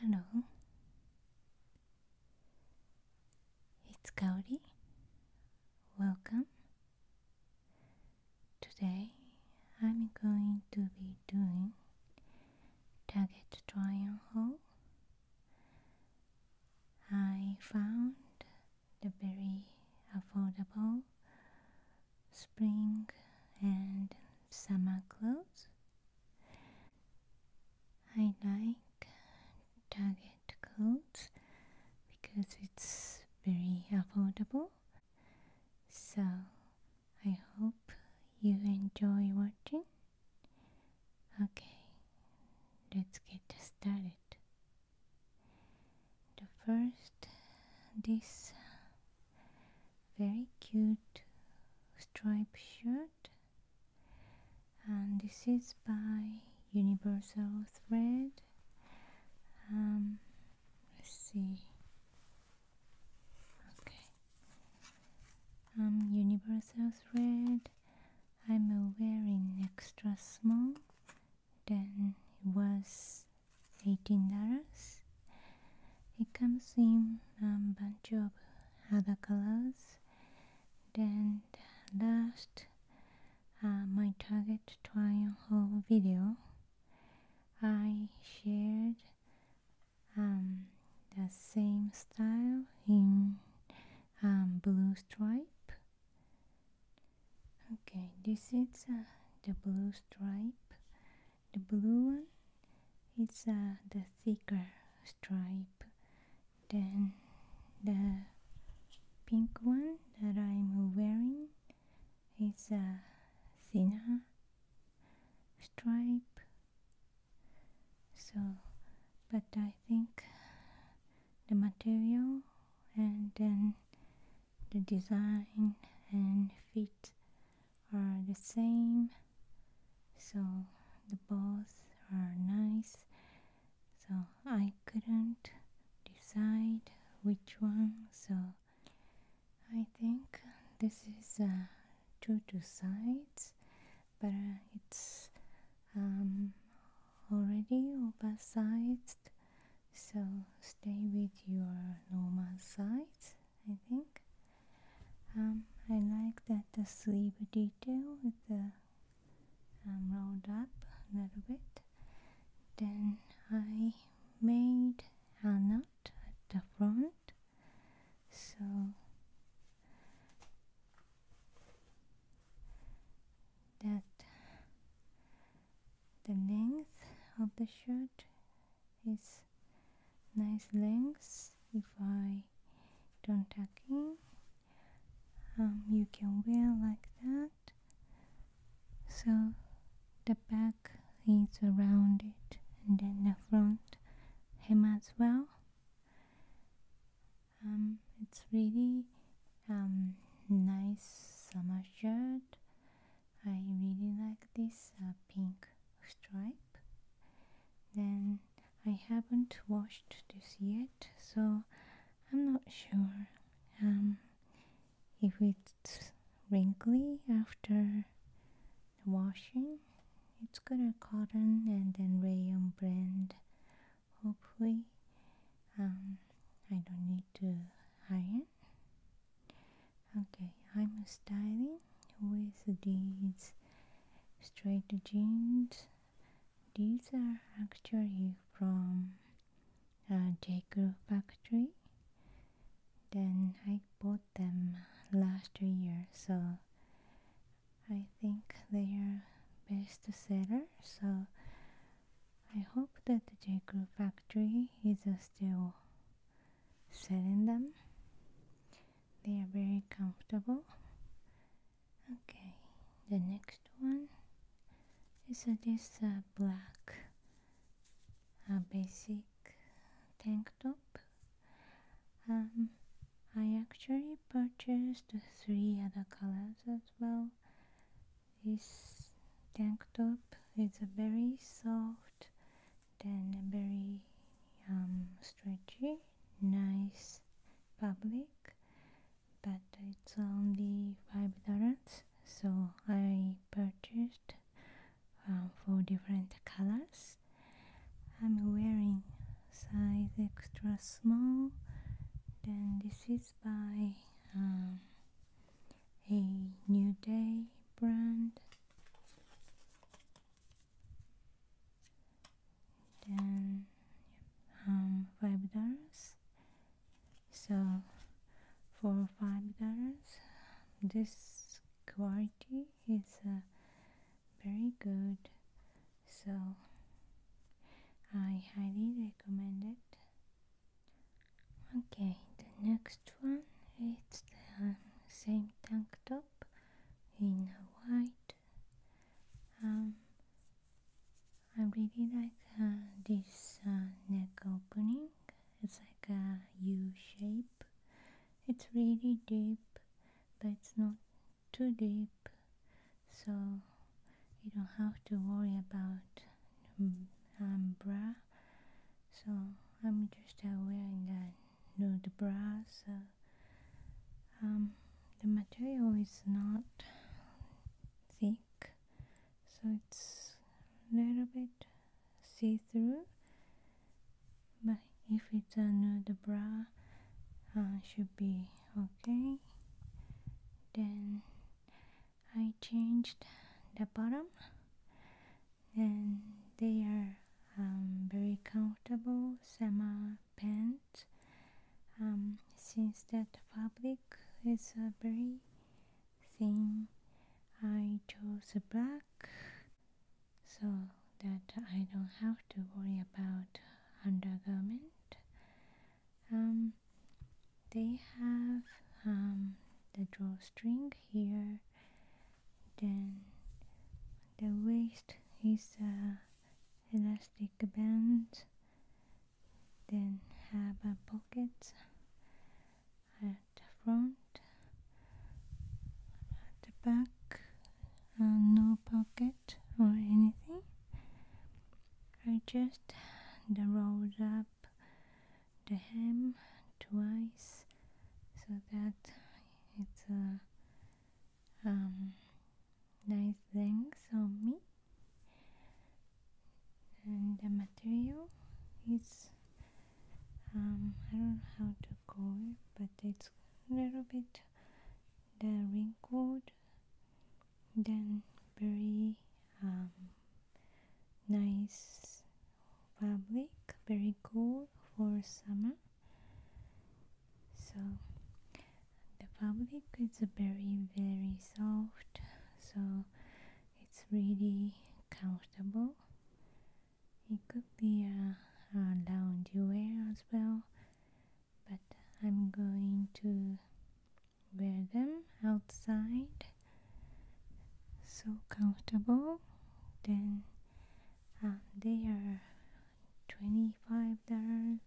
Hello. It's Kaori. Welcome. Today I'm going to be doing target triangle. I found the very affordable spring and summer clothes. I like Target clothes because it's very affordable. So I hope you enjoy watching. Okay, let's get started the first this very cute striped shirt and this is by universal thread um, let's see okay um, universal thread I'm wearing extra small then it was $18 it comes in a bunch of other colors then last uh, my target trial haul video I shared um, the same style in um, blue stripe okay this is uh, the blue stripe the blue one is uh, the thicker stripe than the pink one that I'm wearing is a thinner stripe so but I think the material and then the design and fit are the same so the both are nice so I couldn't decide which one so I think this is uh, two to sides but uh, it's um, already oversized so stay with your normal size I think um, I like that the sleeve detail with the um, rolled up a little bit then I made a knot at the front so that the length of the shirt is nice length if I don't tuck in um, you can wear like that so the back is rounded and then the front hem as well um, it's really um, nice summer shirt. I really like this uh, pink stripe. Then I haven't washed this yet, so I'm not sure um, if it's wrinkly after washing. It's got a cotton and then rayon blend hopefully um, I don't need to iron okay I'm styling with these straight jeans these are actually from uh, J. Crew factory then I bought them last year so I think they are best seller so I hope that the J. Crew factory is uh, still selling them. They are very comfortable. Okay, the next one is a uh, this uh, black uh, basic tank top. Um, I actually purchased three other colors as well this tank top is very soft and very um, stretchy, nice public, but it's only five dollars. So I purchased um, uh, four different colors. I'm wearing size extra small. Then this is by um, a New Day brand. Then um, five dollars. So for five dollars, this quality is uh, very good so I highly recommend it. Okay, the next one is the um, same tank top in white. Um, I really like uh, this uh, neck opening. It's like a U shape. It's really deep, but it's not too deep, so you don't have to worry about mm, um, bra so I'm just uh, wearing a nude bra so um, the material is not thick so it's a little bit see-through but if it's a nude bra uh, should be okay then I changed the bottom and they are um, very comfortable summer pants um, since that public is a very thin I chose black so that I don't have to worry about undergarment um, they have um, the drawstring here then the waist is a elastic band then have a pocket at the front at the back uh, no pocket or anything I just rolled up the hem twice so that it's a um, nice length on me and the material is um, I don't know how to call it but it's a little bit the wrinkled then very um, nice fabric very cool for summer so the fabric is very very soft so it's really comfortable it could be a, a lounge wear as well but I'm going to wear them outside so comfortable then um, they are $25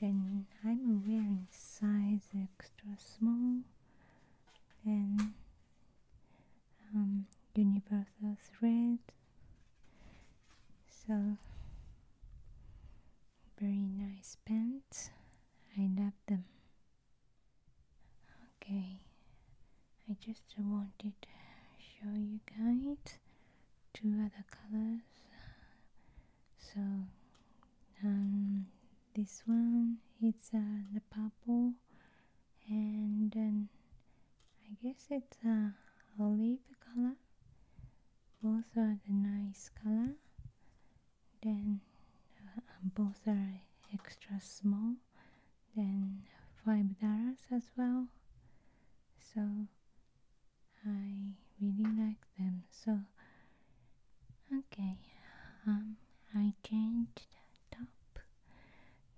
then I'm wearing size extra small and um, universal thread so very nice pants. I love them. Okay, I just wanted to show you guys two other colors. So um, this one it's uh, the purple and um, I guess it's a uh, olive color both are the nice color then uh, both are extra small then five dollars as well so I really like them so okay um I changed top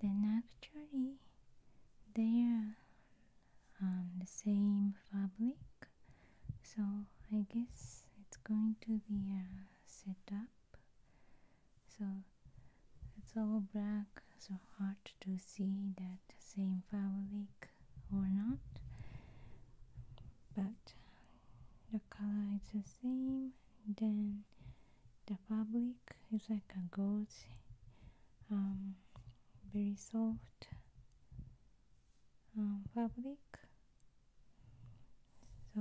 then actually there. Um, the same fabric so I guess it's going to be set up. so it's all black so hard to see that same fabric or not but the color is the same then the fabric is like a gold very soft um, fabric so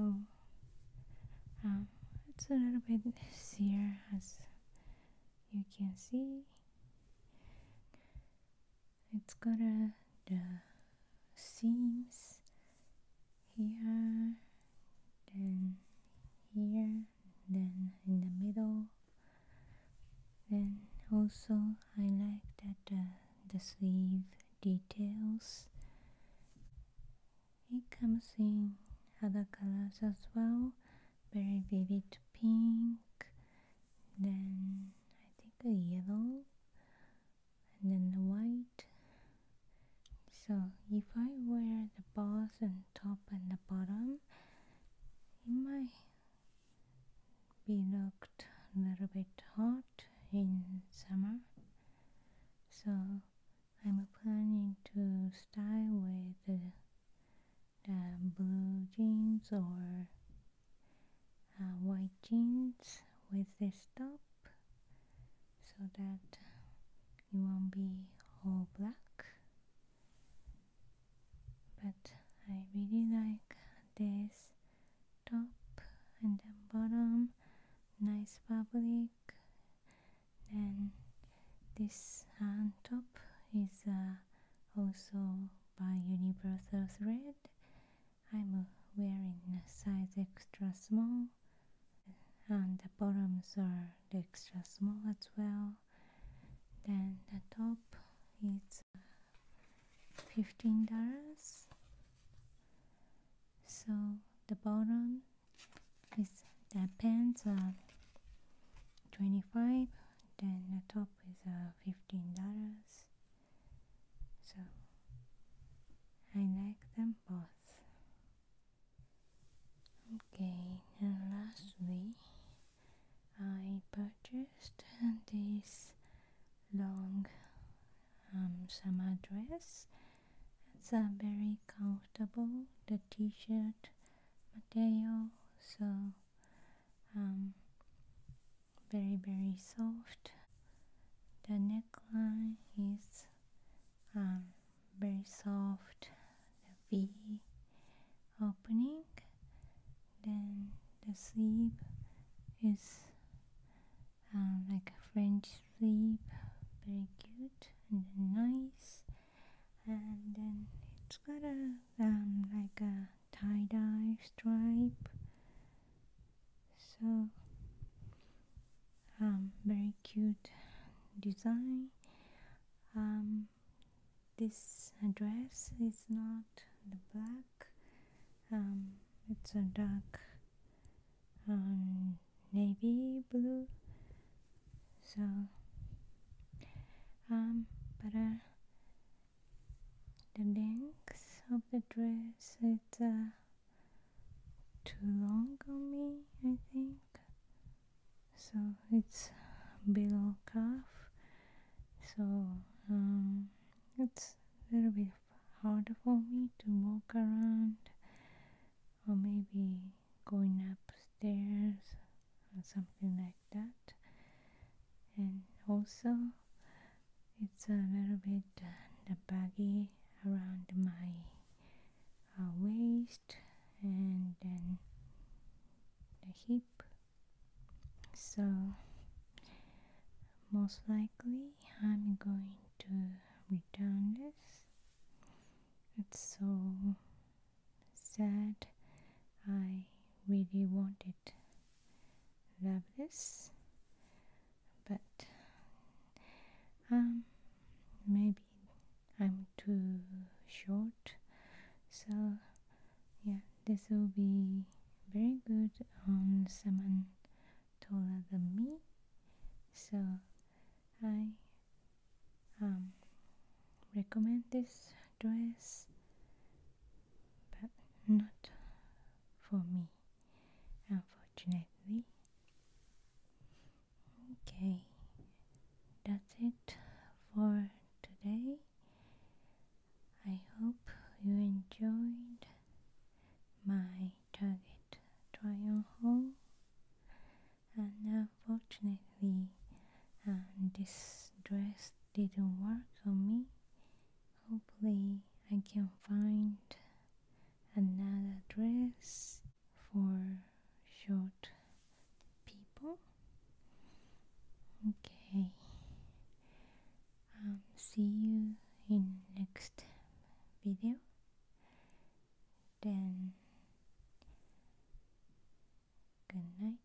um, it's a little bit sheer as you can see it's got uh, the seams here then here then in the middle. Then also I like that uh, the sleeve details. It comes in other colors as well, very vivid pink, then I think the yellow, and then the white. So if I wear the boss and top and the bottom it might be looked a little bit hot in summer so I'm planning to style with the, the blue jeans or uh, white jeans with this top so that it won't be all black but I really like this top and the bottom nice fabric and this hand top is uh, also by Universal Thread I'm uh, wearing size extra small and the bottoms are extra small as well then the top is fifteen dollars. So the bottom is the pants are twenty five. Then the top is uh, fifteen dollars. So I like them both. Okay, and lastly I purchased this long summer dress. It's a very comfortable, the t-shirt material, so um, very very soft. The neckline is um, very soft V opening then the sleeve is uh, like a French sleeve very cute and nice and then it's got a um, like a tie-dye stripe so um, very cute design um, this dress is not the black um, it's a dark um, navy blue so um, but uh, the length of the dress is uh, too long on me I think so it's below calf so um, it's a little bit harder for me to walk around or maybe going upstairs or something like that and also it's a little bit uh, the baggy around my uh, waist and then the hip so most likely I'm going to return this it's so sad I really want it. love this but um maybe I'm too short so yeah this will be very good on someone taller than me so I um, recommend this dress but not for me unfortunately Okay, that's it for today. I hope you enjoyed my target trial haul. And unfortunately, um, this dress didn't work on me. Hopefully, I can find another dress for short people. Okay. Um, see you in next video. Then good night.